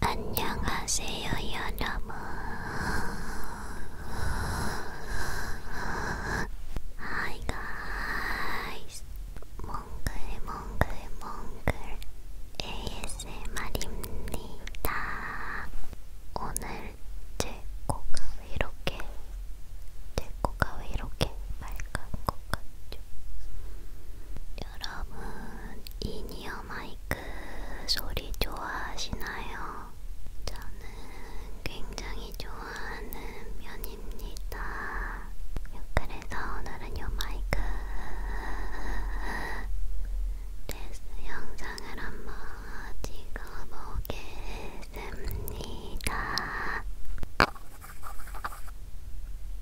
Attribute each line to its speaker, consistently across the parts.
Speaker 1: 안녕하세요, 여러분. Hi guys. 몽글몽글몽글 ASMR입니다. 오늘 제 코가 왜 이렇게 제 코가 왜 이렇게 빨간 것 같죠? 여러분, 인이어 에어마이크 소리 좋아하시나요? 저는 굉장히 좋아하는 편입니다. 그래서 오늘은 요 마이크 테스트 영상을 한번 찍어보겠습니다.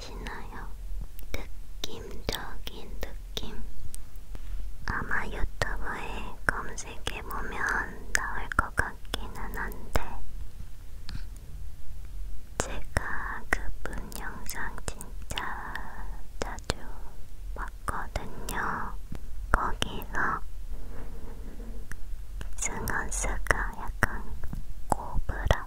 Speaker 1: 아시나요? 느낌적인 느낌. 아마 유튜브에 검색해보면 나올 것 같기는 한데, 제가 그 분 영상 진짜 자주 봤거든요. 거기서 승헌스가 약간 고브라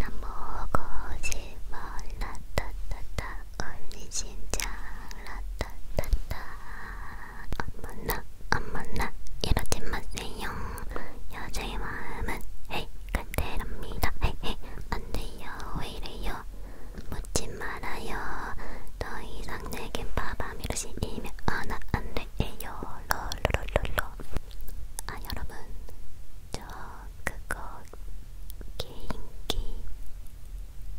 Speaker 1: 난 보고지 말라따따따 올리 심장 라따따따 안 만나 안 만나 이러지 마세요 여자의 마음은 헤이 간대랍니다 헤이 안 돼요 왜 이래요 묻지 말아요 더 이상 내겐 바밤이로 시이면 아나 안 돼요 롤롤롤롤 아 여러분 저 그거 개인기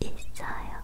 Speaker 1: 있어요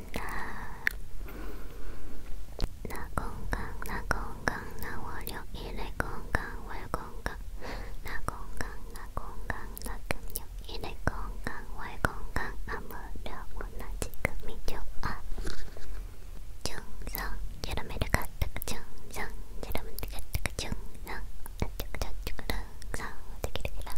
Speaker 1: 있나 나 건강 나 건강 나 월요일에 건강 월 건강 나 건강 나 건강 나 금요일에 건강 월 건강 아무려고 나 지금이 좋아 충성 여러분들 가득 충성 여러분들 가득 충성 아쪽저쪽으로 성 어떻게 이렇게 락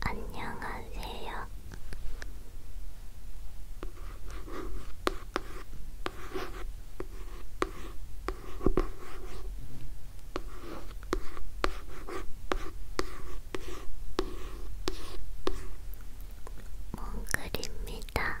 Speaker 1: 안녕하세요. 몽글입니다.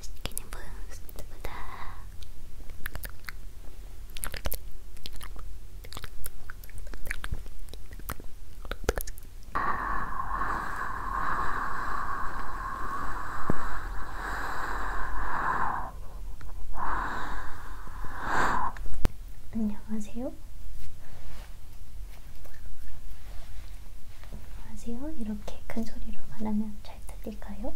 Speaker 1: 스키니 부스트보다 안녕하세요. 안녕하세요. 이렇게 큰 소리로 말하면 잘 들릴까요?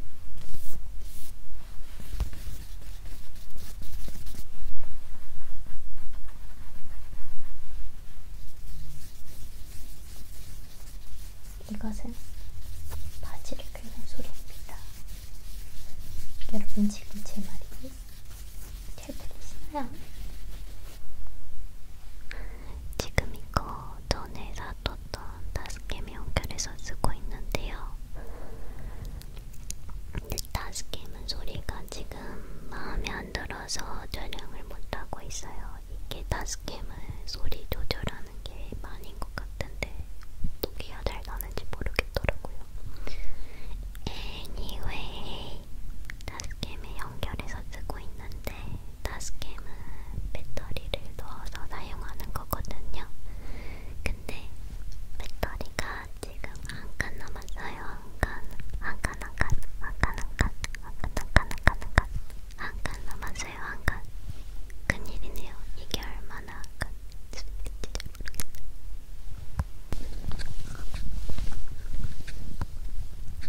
Speaker 1: 이것은 바지를 긁는 소리입니다. 여러분 지금 제 말이 잘 들리시나요? 지금 이거 어, 전에 사뒀던 다스케 명결에서 쓰고 있는데요. 근데 다스케는 소리가 지금 마음에 안 들어서 촬영을 못하고 있어요. 이게 다스캠은 소리 조절하는 게 많은 것 같은데 어떻게 해야 잘 나는지 모르겠더라고요. Anyway, 다스캠에 연결해서 쓰고 있는데 다스캠은 배터리를 넣어서 사용하는 거거든요. 근데 배터리가 지금 한 칸 남았어요. 한칸, 한칸, 한칸, 한칸, 한칸, 한칸, 한칸, 한칸, 한칸, 한칸 남았어요. 한칸. 큰일이네요. 이게 얼마나 한칸.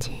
Speaker 1: 간질간질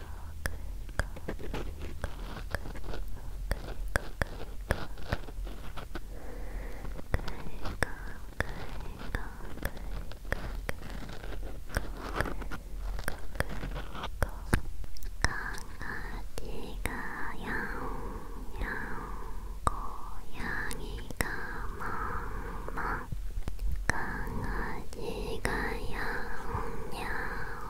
Speaker 1: 강아지가 야옹 야옹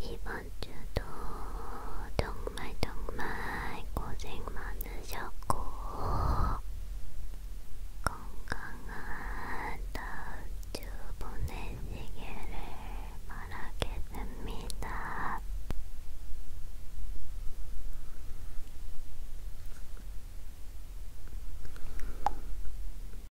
Speaker 1: 이번 주도 정말 정말 고생 많으셨고 건강한 다음 주 보내시기를 바라겠습니다.